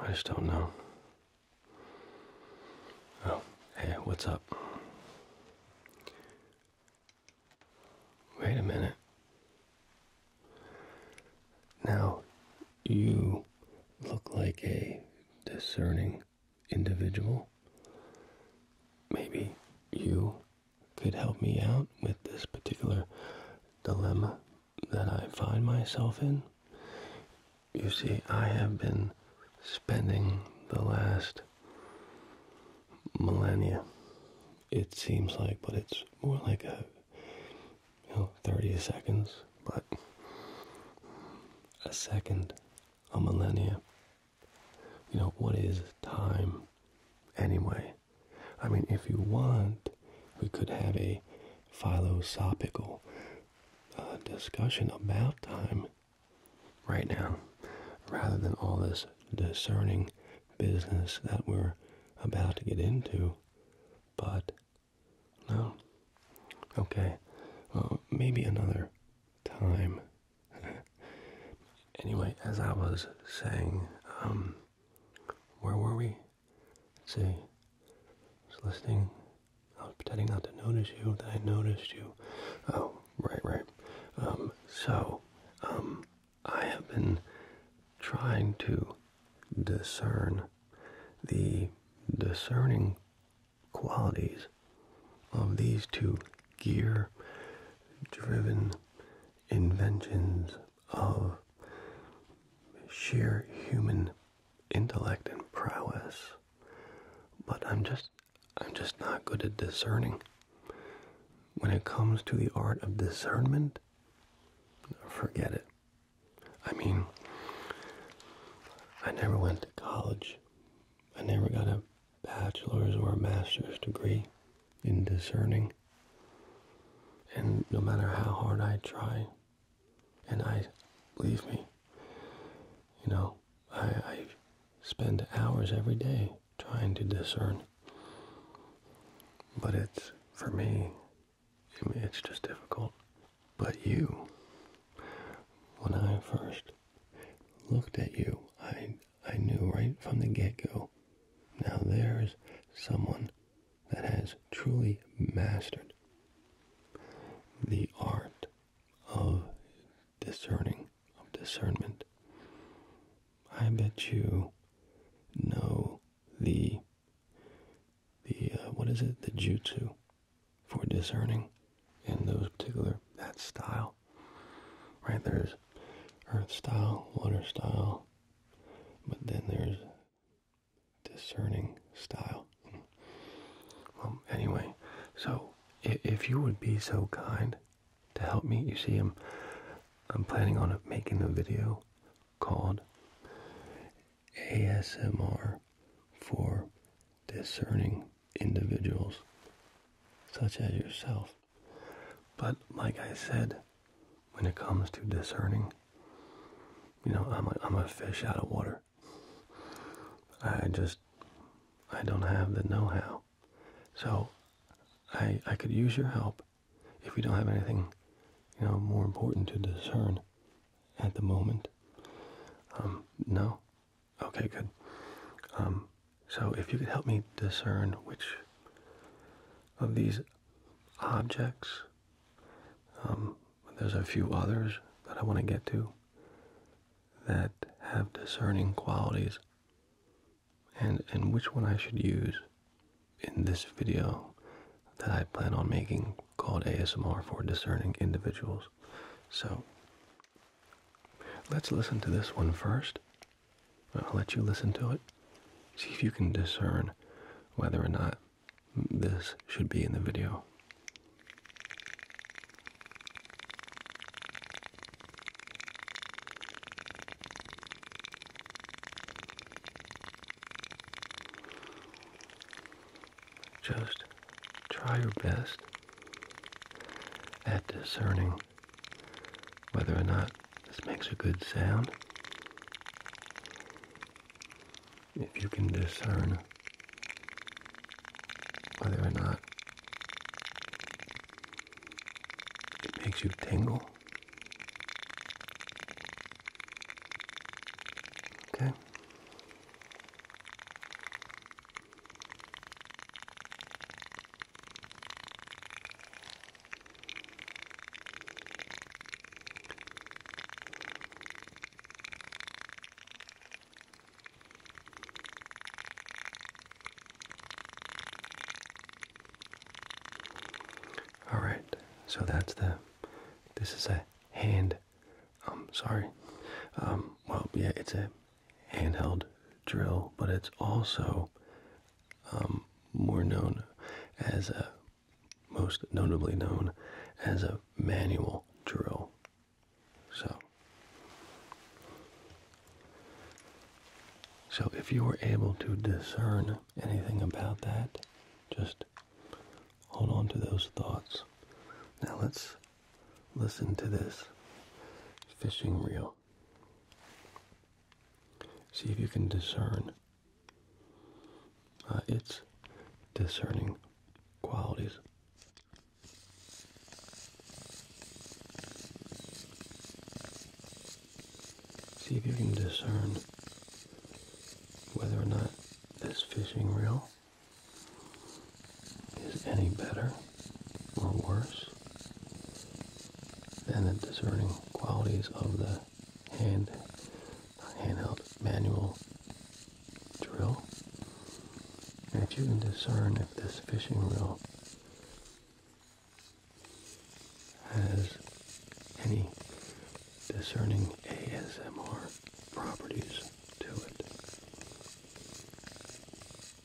I just don't know. Oh, hey, what's up? Wait a minute. Now, you look like a discerning individual. Maybe you could help me out with this particular dilemma that I find myself in. You see, I have been spending the last millennia, it seems like, but it's more like a 30 seconds, but a second a millennia. You know, what is time anyway? I mean, if you want, we could have a philosophical uh, discussion about time right now, rather than all this discerning business that we're about to get into. But, no. Okay. Uh, maybe another time. anyway, as I was saying, um, where were we? Let's see. I was listening. I was pretending not to notice you. That I noticed you. Oh, right, right. Um, so, um, I have been trying to discern the discerning qualities of these two gear driven inventions of sheer human intellect and prowess but i'm just i'm just not good at discerning when it comes to the art of discernment forget it i mean i never went to college I never got a bachelor's or a master's degree in discerning. And no matter how hard I try, and I, believe me, you know, I, spend hours every day trying to discern. But it's, for me, it's just difficult. But you, when I first looked at you. I I knew right from the get-go. Now there's someone that has truly mastered the art of discerning, of discernment. I bet you know the the uh, what is it? The jutsu for discerning in those particular that style. Right there's earth style, water style, but then there's discerning style. Well, anyway, so if you would be so kind to help me, you see, I'm I'm planning on making a video called ASMR for discerning individuals such as yourself. But like I said, when it comes to discerning, you know, I'm a, I'm a fish out of water. I just, I don't have the know-how. So I, I could use your help if we don't have anything, you know, more important to discern at the moment. Um, no, Okay, good. Um, so if you could help me discern which of these objects, um, there's a few others that I want to get to that have discerning qualities and, and which one I should use in this video that I plan on making called ASMR for discerning individuals. So Let's listen to this one first. I'll let you listen to it. See if you can discern whether or not this should be in the video. Just try your best at discerning whether or not this makes a good sound. If you can discern whether or not it makes you tingle. Okay. All right, so that's the. This is a hand. I'm um, sorry. Um, well, yeah, it's a handheld drill, but it's also um, more known as a most notably known as a manual drill. So, so if you were able to discern anything about that, just hold on to those thoughts. Now let's Listen to this fishing reel. See if you can discern uh, its discerning qualities. See if you can discern whether or not this fishing reel is any better or worse than the discerning qualities of the hand handheld manual drill. And if you can discern if this fishing reel has any discerning ASMR properties to it.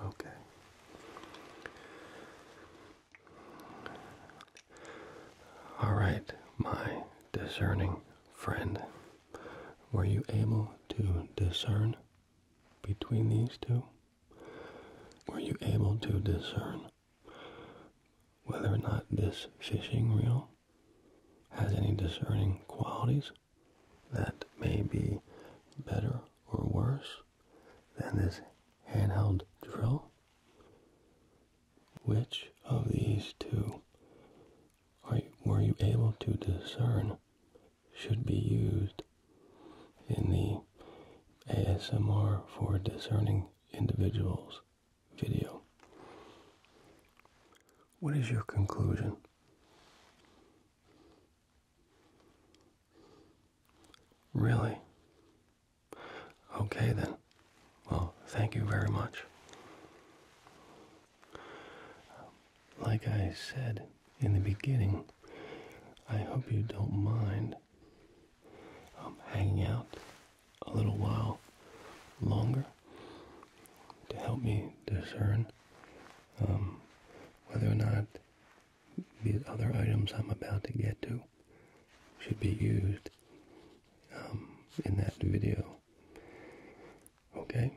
Okay. All right, my discerning friend. Were you able to discern between these two? Were you able to discern whether or not this fishing reel has any discerning qualities that may be better or worse than this handheld drill? Which of these two are were you able to discern should be used in the ASMR for discerning individuals video. What is your conclusion? Really? Okay then. Well, thank you very much. Like I said in the beginning, I hope you don't mind um, hanging out a little while longer to help me discern um, whether or not these other items I'm about to get to should be used um, in that video. Okay?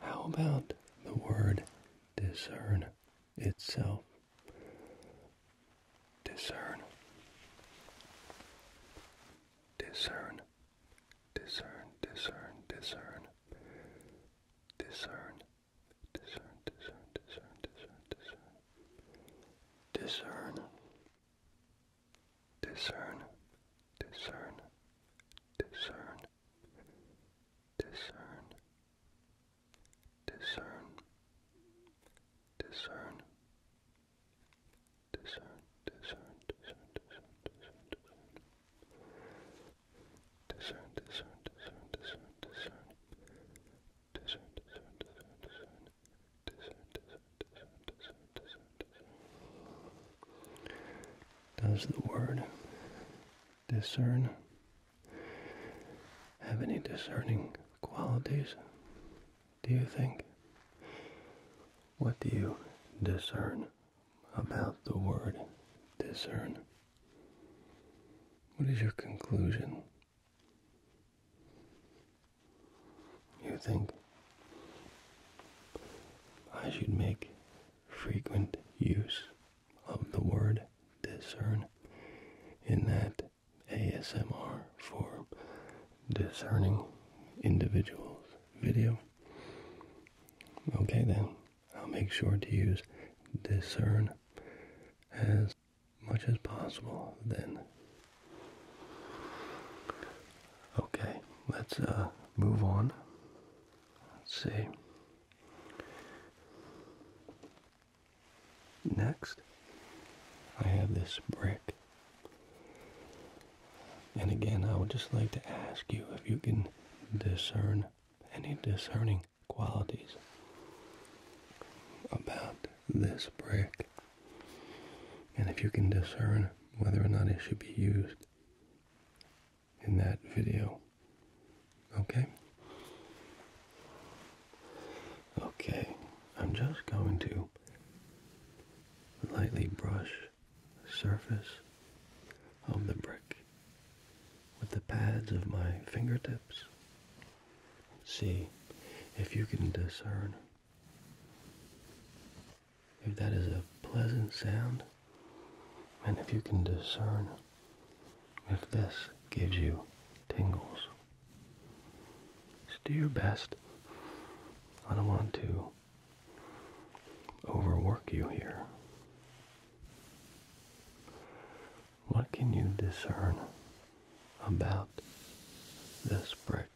How about the word discern itself? Discern. Discern discern, discern, discern, discern, discern, discern, discern, discern, discern, discern, discern, discern, discern, discern, discern, discern discern, discern, discern, discern, discern, discern, discern, discern, discern, discern, discern, discern, discern, discern, discern. Does the word discern have any discerning qualities? do you think? What do you discern about the word discern? What is your conclusion? You think I should make frequent use of the word discern in that ASMR form discerning individuals video. Okay, then I'll make sure to use discern as much as possible then. Okay, let's uh, move on. Let's see. Next, I have this brick and again, I would just like to ask you if you can discern any discerning qualities about this brick and if you can discern whether or not it should be used in that video. Okay? Okay, I'm just going to lightly brush surface of the brick with the pads of my fingertips. See if you can discern if that is a pleasant sound and if you can discern if this gives you tingles. Just do your best. I don't want to overwork you here. What can you discern about this brick?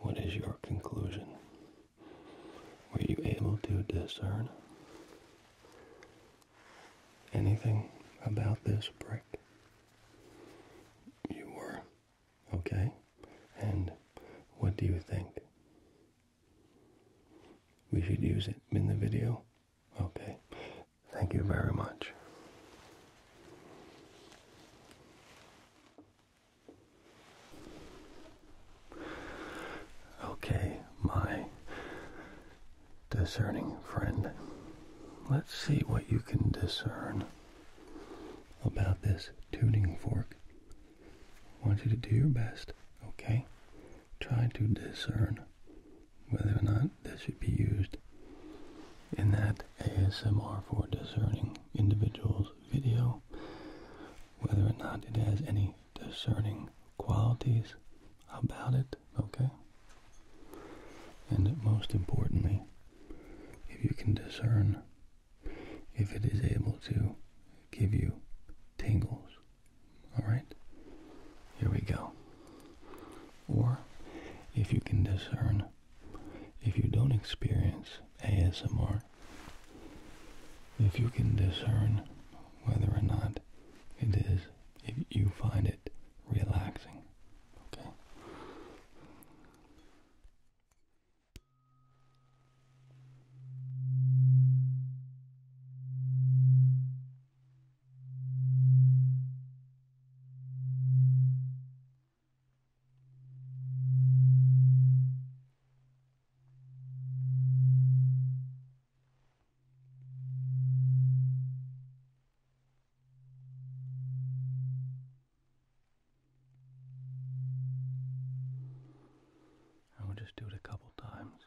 What is your conclusion? Were you able to discern anything about this brick? You were. Okay? And what do you think? We should use it in the video? Okay. Thank you very much. Okay, my discerning friend. Let's see what you can discern about this tuning fork. I want you to do your best, okay? Try to discern whether or not this should be used in that ASMR for discerning individuals video, whether or not it has any discerning qualities about it, okay? And most importantly, if you can discern if it is able to give you tingles, all right? Here we go. Or if you can discern if you don't experience ASMR, if you can discern whether or not it is if you find it relaxing. Okay. I will just do it a couple times.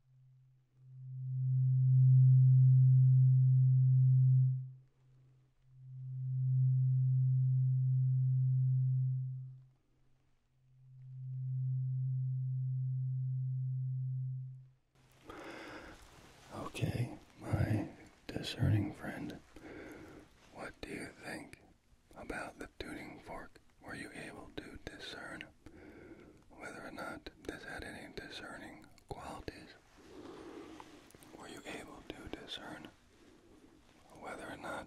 Okay, my discerning friend, what do you think about the tuning fork? Were you able to discern whether or not this had any discerning qualities. Were you able to discern whether or not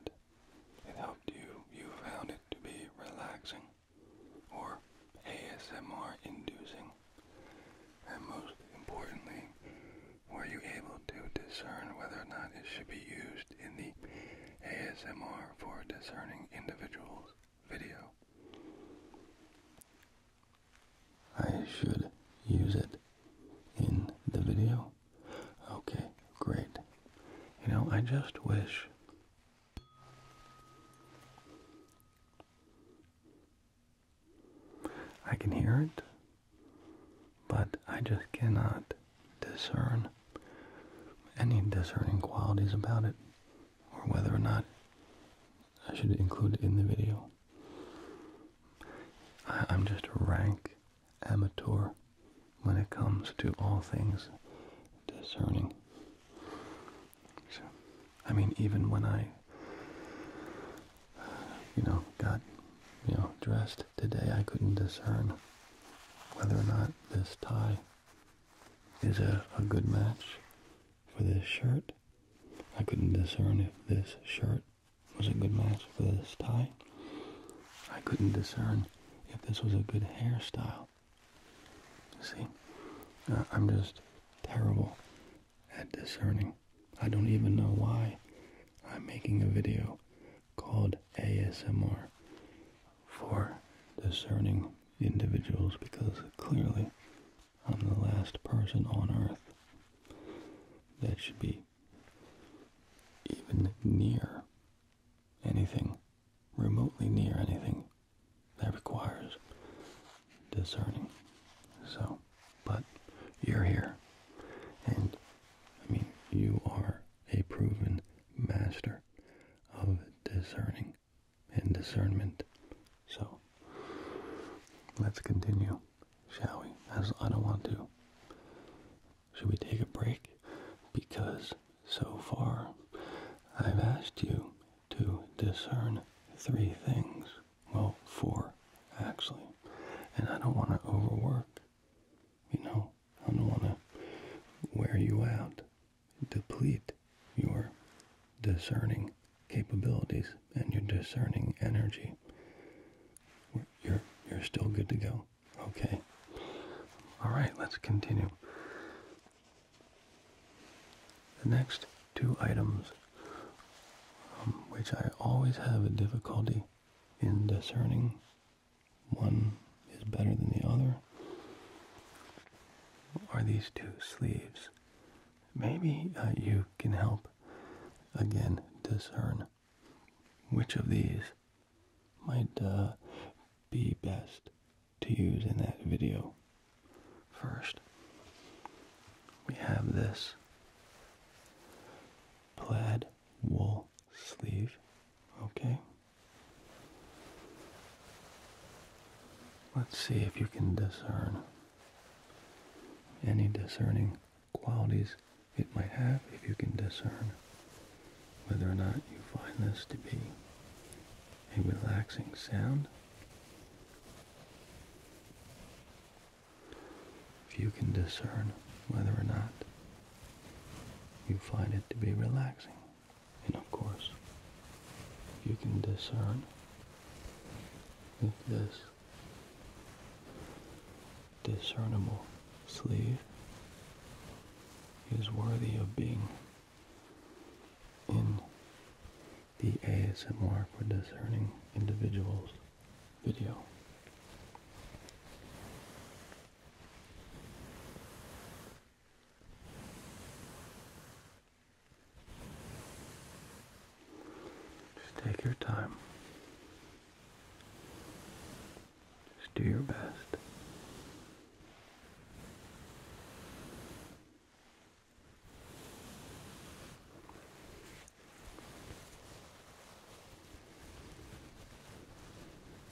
it helped you? You found it to be relaxing or ASMR inducing. And most importantly, were you able to discern whether or not it should be used in the ASMR for discerning individuals? video. I should use it in the video. Okay, great. You know, I just wish I can hear it, but I just cannot discern any discerning qualities about it or whether or not I should include it in the video. I, am just a rank amateur when it comes to all things discerning. I mean, even when I, you know, got, you know, dressed today, I couldn't discern whether or not this tie is a, good match for this shirt. I couldn't discern if this shirt was a good match for this tie. I couldn't discern if this was a good hairstyle. See, uh, I'm just terrible at discerning. I don't even know why I'm making a video called ASMR for discerning individuals because clearly I'm the last person on earth that should be even near anything, remotely near anything that requires discerning. So, but you're here. And I mean, you are a proven master of discerning and discernment. So let's continue, shall we? As I don't want to. Should we take a break? Because so far I've asked you to discern three things. Well, four, actually. And I don't want to overwork. You know, I don't want to wear you out deplete your discerning capabilities and your discerning energy. You're, you're still good to go. Okay. All right, let's continue. The next two items, um, which I always have a difficulty in discerning one is better than the other? Are these two sleeves? Maybe uh, you can help again discern which of these might uh, be best to use in that video. First, we have this plaid wool sleeve, okay? Let's see if you can discern any discerning qualities it might have, if you can discern whether or not you find this to be a relaxing sound. If you can discern whether or not you find it to be relaxing. And of course, you can discern with this discernible sleeve is worthy of being in the ASMR for discerning individuals video. Just take your time. Just do your best.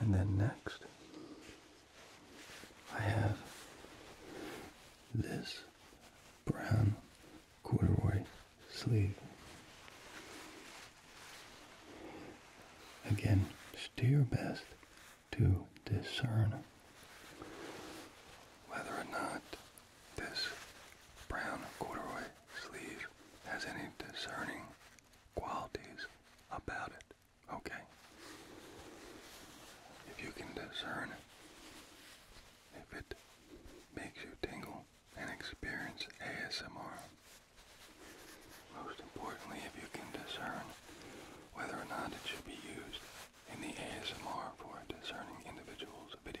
And then next, I have this brown corduroy sleeve. Again, do your best to discern whether or not this brown corduroy sleeve has any discerning qualities about it. Okay. If you can discern if it makes you tingle and experience ASMR. Most importantly, if you can discern whether or not it should be used in the ASMR for discerning individual's video.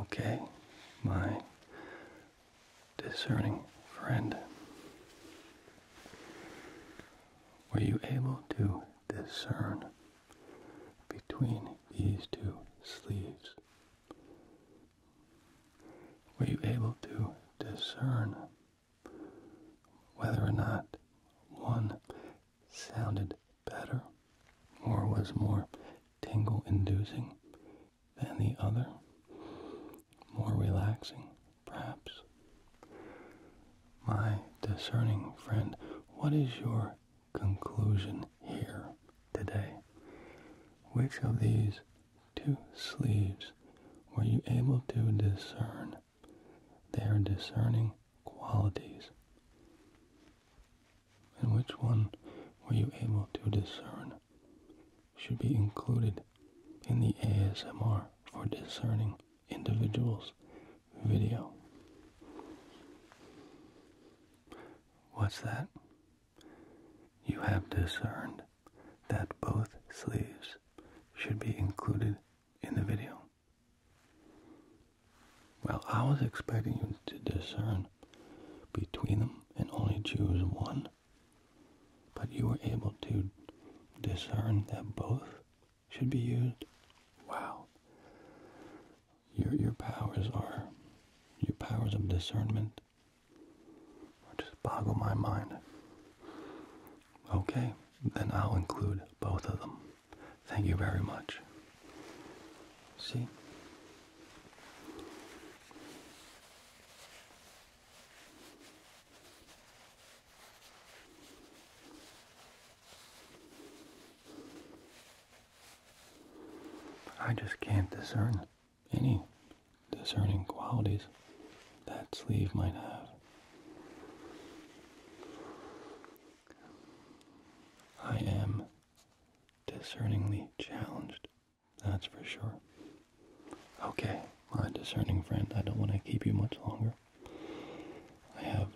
Okay, my discerning friend. Were you able to discern between these two sleeves? Were you able to discern whether or not one sounded better or was more tingle inducing than the other? More relaxing perhaps. My discerning friend, what is your conclusion here today? Which of these two sleeves were you able to discern their discerning qualities? And which one were you able to discern should be included in the ASMR for discerning individual's video. What's that? You have discerned that both sleeves should be included in the video. Well, I was expecting you to discern between them and only choose one, but you were able to discern that both should be used. Wow. Your your powers are your powers of discernment just boggle my mind. Okay, then I'll include both of them. Thank you very much. See? I just can't discern any discerning qualities that sleeve might have. I am discerningly challenged, that's for sure. Okay, my discerning friend, I don't want to keep you much longer. I have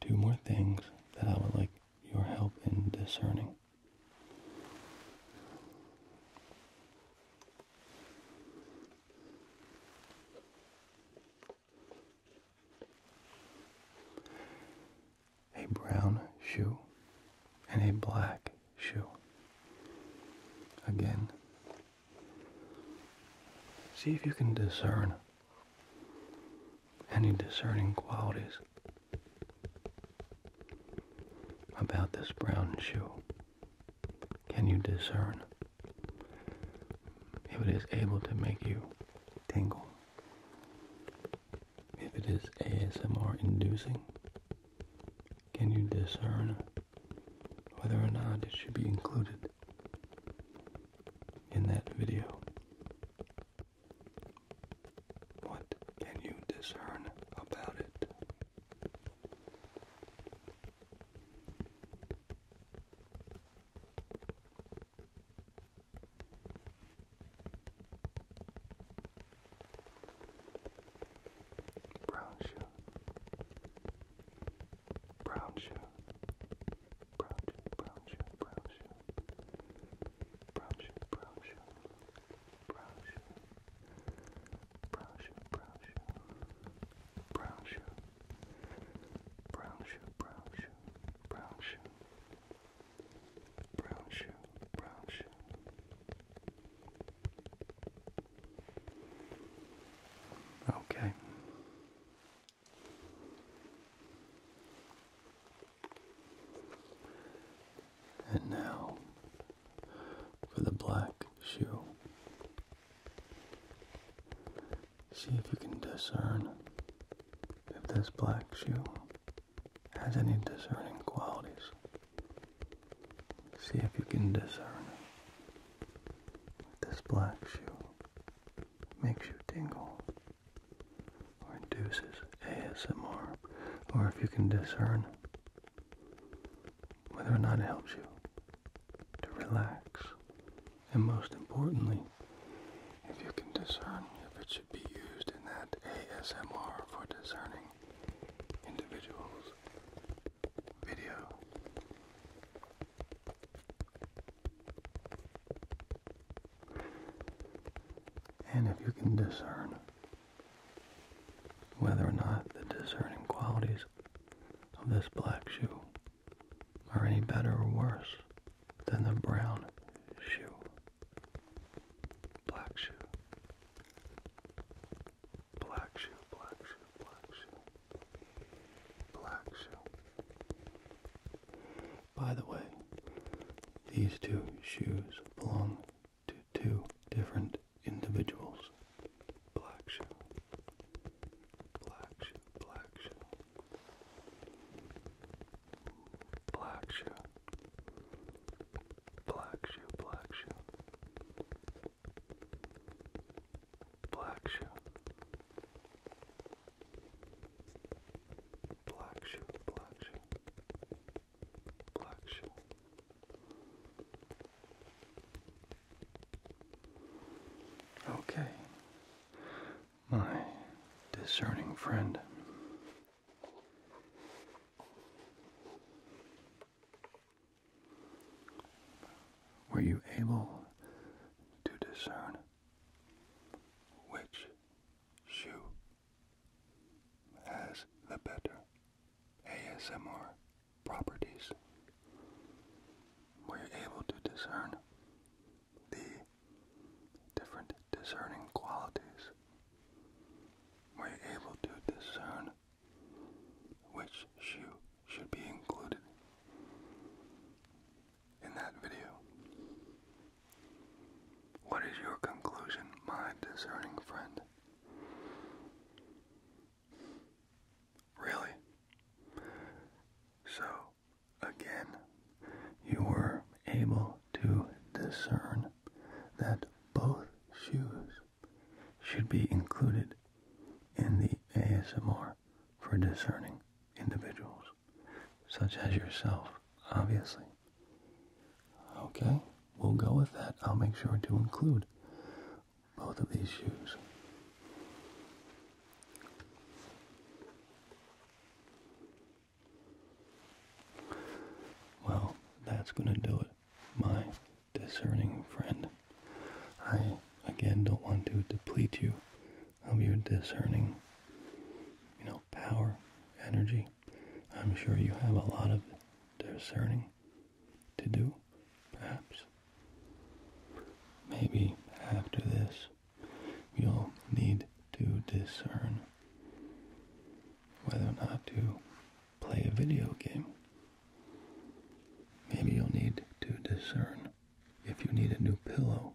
two more things that I would like your help in discerning. A brown shoe and a black shoe. Again, See if you can discern any discerning qualities about this brown shoe. Can you discern if it is able to make you tingle? If it is ASMR inducing? Can you discern whether or not it should be included in that video? What can you discern about it? Brown shoe, brown shoe, brown shoe, brown shoe, brown shoe, brown shoe, brown shoe, brown shoe, brown shoe, brown shoe, brown shoe, brown shoe, Okay. And now for the black shoe. See if you can discern if this black shoe has any discerning qualities. See if you can discern this black shoe makes you tingle or induces ASMR, or if you can discern whether or not it helps you to relax, and most importantly, if you can discern if it should be used in that ASMR for discerning individuals' video. And if you can discern whether or not the discerning qualities of this black shoe are any better or worse than the brown shoe, black shoe, black shoe, black shoe, black shoe black shoe. By the way, these two shoes belong to two different individuals. Black shoe, black shoe, black shoe, black shoe, black shoe, black shoe, black shoe, black shoe, black shoe, black shoe. Okay, my discerning friend. Were you able to discern which shoe has the better ASMR properties? We're able to discern the different discerning qualities. We're able to discern which shoe should be included in that video. What is your conclusion, my discerning friend? Really? So, again, you were able to discern that both shoes should be included in the ASMR for discerning individuals, such as yourself, obviously. Okay, we'll go with that. I'll make sure to include both of these shoes. Well, that's going to do it, my discerning friend. I, again, don't want to deplete you of um, your discerning, you know, power, energy. I'm sure you have a lot of discerning to do, perhaps. Maybe after this, you'll need to discern whether or not to play a video game. Maybe you'll need to discern if you need a new pillow.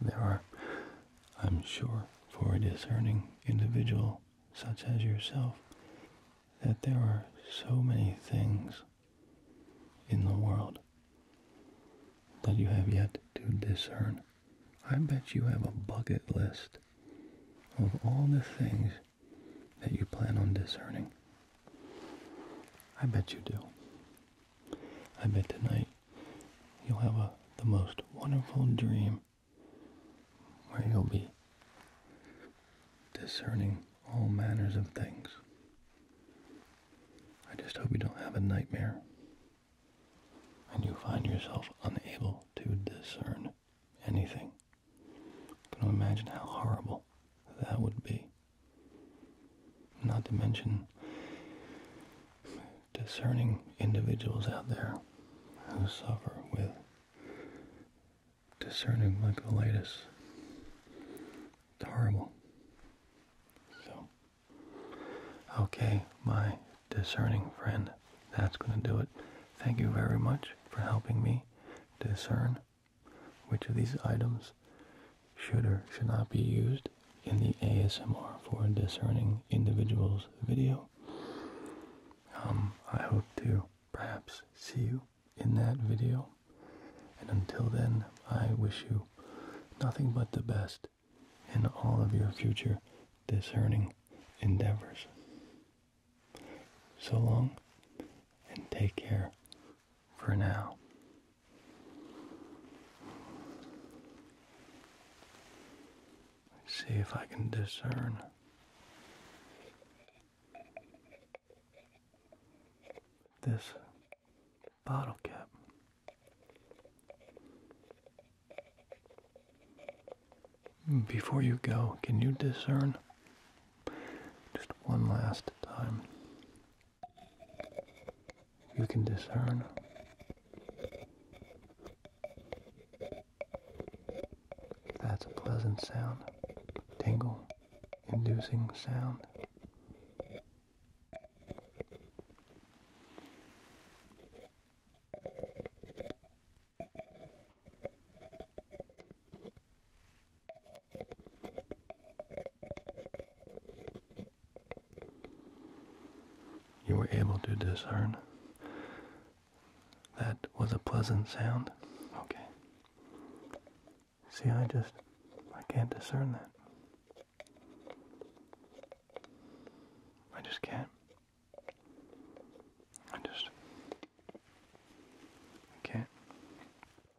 There are, I'm sure, for a discerning individual such as yourself, that there are so many things in the world that you have yet to discern. I bet you have a bucket list of all the things that you plan on discerning? I bet you do. I bet tonight you'll have the most wonderful dream where you'll be discerning all manners of things. I just hope you don't have a nightmare and you find yourself unable to discern anything. Can you imagine how horrible that would be? Not to mention discerning individuals out there who suffer with discerning like mycolitis. It's horrible. So, okay, my discerning friend, that's going to do it. Thank you very much for helping me discern which of these items should or should not be used in the ASMR for discerning individuals video. Um, I hope to perhaps see you in that video. And until then, I wish you nothing but the best in all of your future discerning endeavors. So long and take care for now. See if I can discern. This bottle cap before you go, can you discern just one last time. You can discern that's a pleasant sound, tingle inducing sound. You were able to discern that was a pleasant sound? Okay. See, I just, I can't discern that. I just can't. I just can't